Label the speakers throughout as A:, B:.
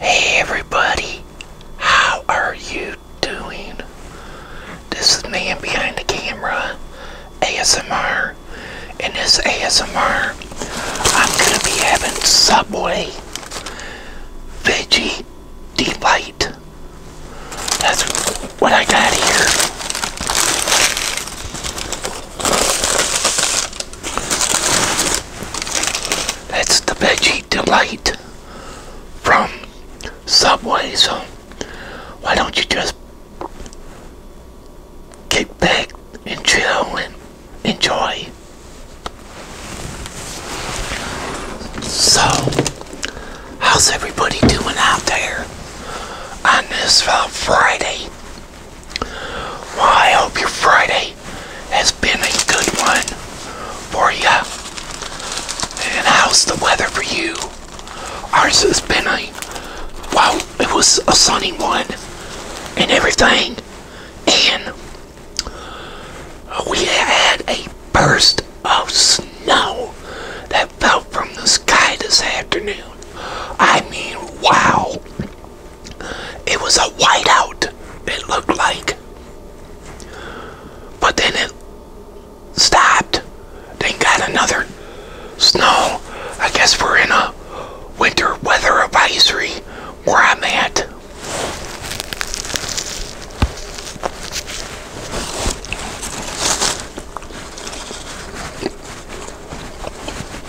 A: Hey everybody, how are you doing? This is man behind the camera, ASMR, and this ASMR, I'm gonna be having Subway Veggie Delight. That's what I got here. That's the Veggie Delight from Subway, so why don't you just kick back and chill and enjoy? So, how's everybody doing out there on this fine uh, Friday? Well, I hope your Friday has been a good one for you. And how's the weather for you? Ours has been a, wow it was a sunny one and everything. And we had a burst of snow that fell from the sky this afternoon. I mean, wow. It was a whiteout, it looked like. But then it stopped. They got another snow. I guess we're in a winter weather advisory where I'm at.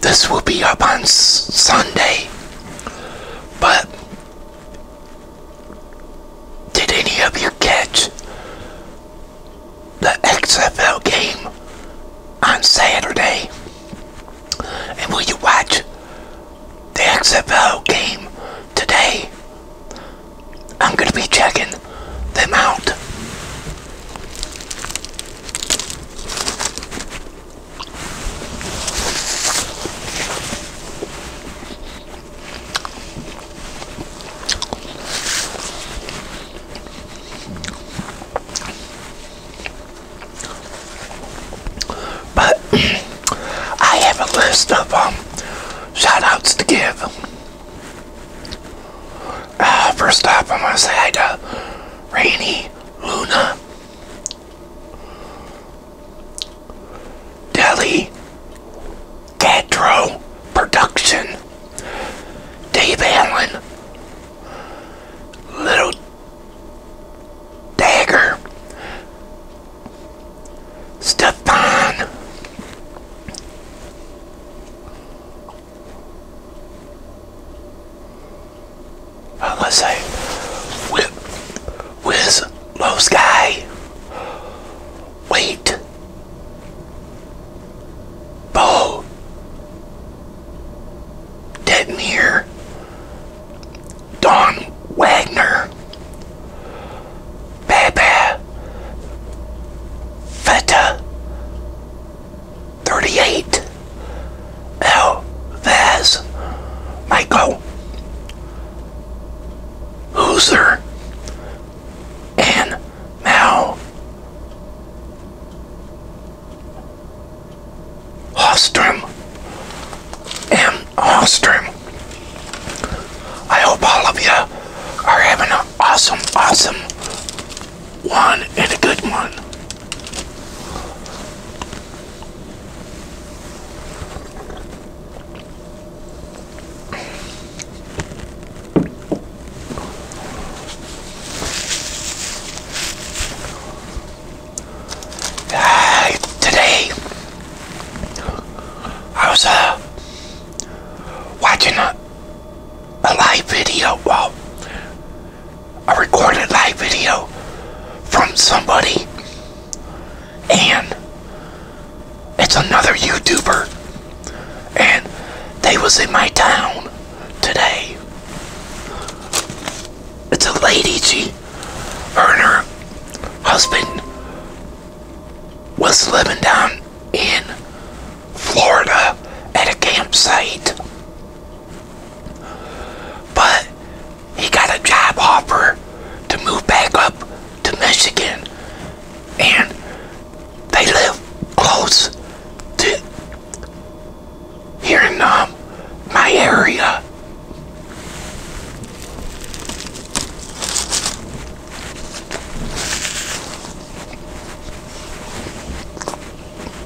A: This will be up on Sunday. But did any of you catch the XFL game on Saturday? And will you watch the XFL game today? I'm going to be checking them out. But I have a list of um, shout outs to give. Uh, first up, I'm going to say hi to Luna, Deli, Catro Production, Dave Allen, Little Dagger, Stefan. I'm Unless I whip, whiz, low sky, wait, bow, detonator. Don Wagner, Baba, Feta, 38. Elvez Michael Hooser and Mal Hostrom M. Hostrom. I hope all of you are having an awesome, awesome one and a good one. Uh, today, I was uh, watching a, a live video, well, a recorded live video from somebody and it's another YouTuber and they was in my town today. It's a lady, G. her her husband was living down in Florida at a campsite but he got a job offer to move back up to Michigan. And they live close to here in um, my area.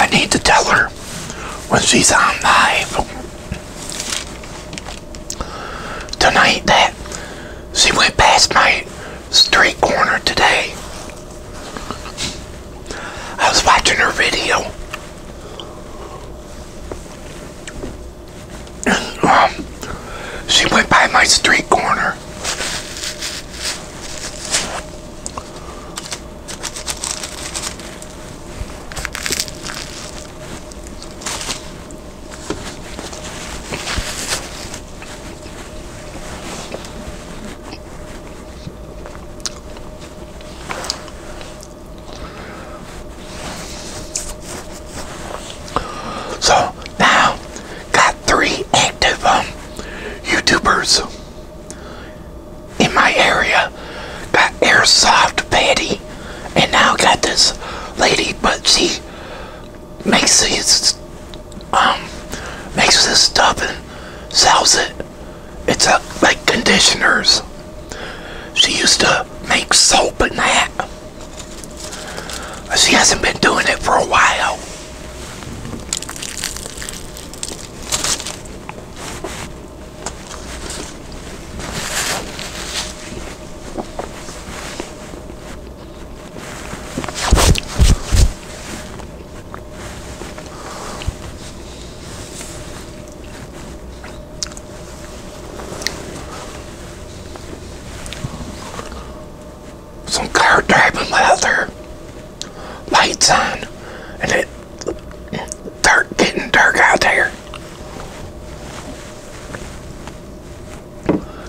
A: I need to tell her when she's on live tonight that she went past my street corner today. I was watching her video. Um, she went by my street corner. So now got three active um, YouTubers in my area. Got Airsoft Patty, and now got this lady, but she makes these um makes this stuff and sells it it's a, like conditioners. She used to make soap and that. She hasn't been doing it for a while some car driving leather lights on and it dark getting dark out there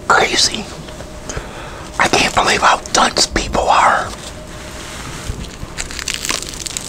A: crazy I can't believe how dense people are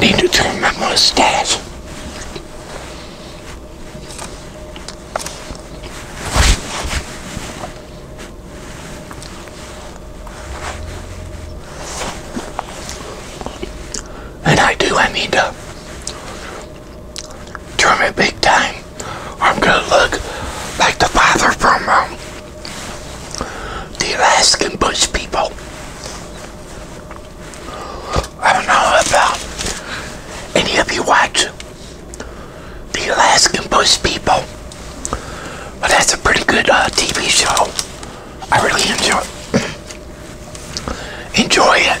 A: Need to trim my mustache. And I do, I need to trim it big time. I'm gonna look like the father from um, the Alaskan Bush people. I don't know about any of you watch the Alaskan Bush People. But that's a pretty good uh, TV show. I really enjoy it. enjoy it.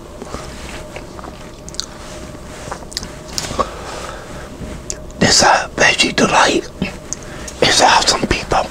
A: This uh, Veggie Delight is awesome, people.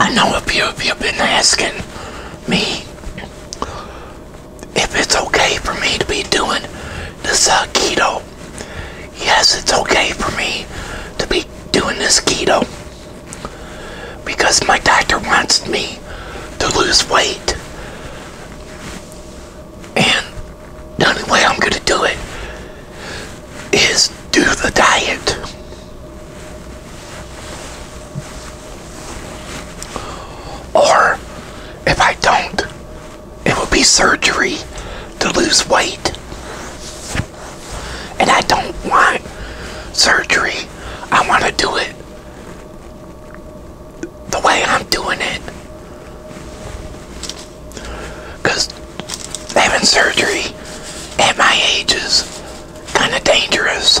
A: I know a few of you have been asking me if it's okay for me to be doing this keto. Yes, it's okay for me to be doing this keto because my doctor wants me to lose weight and the only way I'm going to do it is do the diet. Or if I don't, it will be surgery to lose weight. And I don't want surgery. I want to do it the way I'm doing it. Because having surgery at my age is kind of dangerous.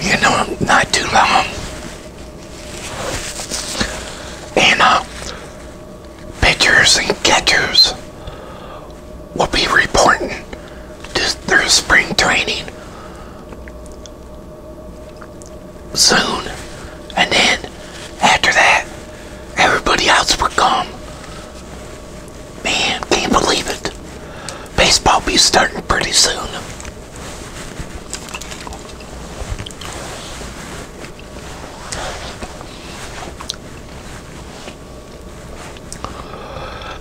A: You know, not too long. And uh, pitchers and catchers will be reporting to their spring training soon. And then after that, everybody else would come. Man, can't believe it. Baseball be starting pretty soon.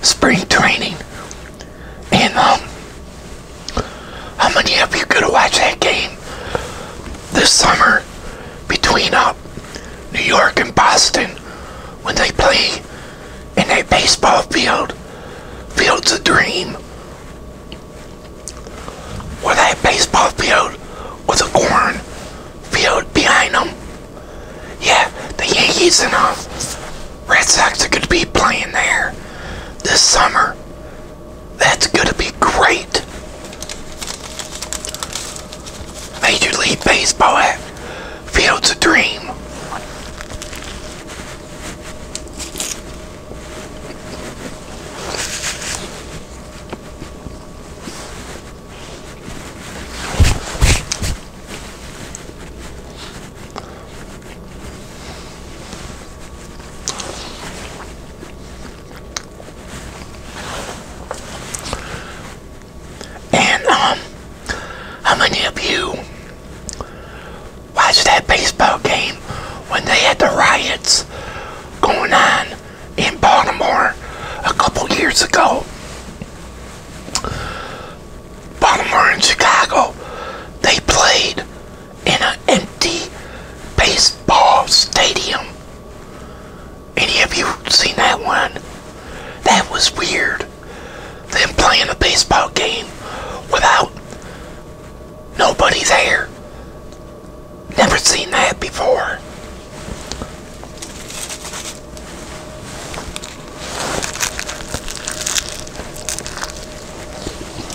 A: Spring training and how many of you gonna watch that game this summer between up uh, New York and Boston when they play in that baseball field? Field's a dream. Where that baseball field was a corn field behind them. Yeah, the Yankees and us uh, Red Sox are going to be playing there this summer. That's going to be great. Major League Baseball at Fields a Dream. And um, how many of you watched that baseball game when they had the riots going on in Baltimore a couple years ago? Baltimore and Chicago, they played in an empty baseball stadium. Any of you seen that one? That was weird. Them playing a baseball game without nobody there. Never seen that before.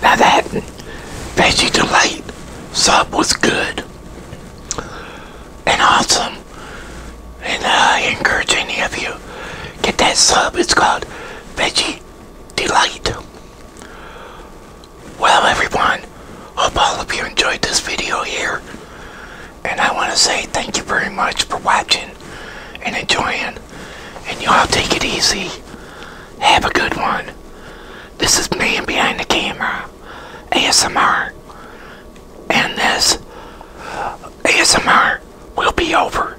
A: Now that Veggie Delight sub was good and awesome. And uh, I encourage any of you get that sub. It's called Veggie Delight. Well, everyone, hope all of you enjoyed this video here. And I want to say thank you very much for watching and enjoying. And y'all take it easy. Have a good one. This is Man Behind the Camera, ASMR. And this ASMR will be over.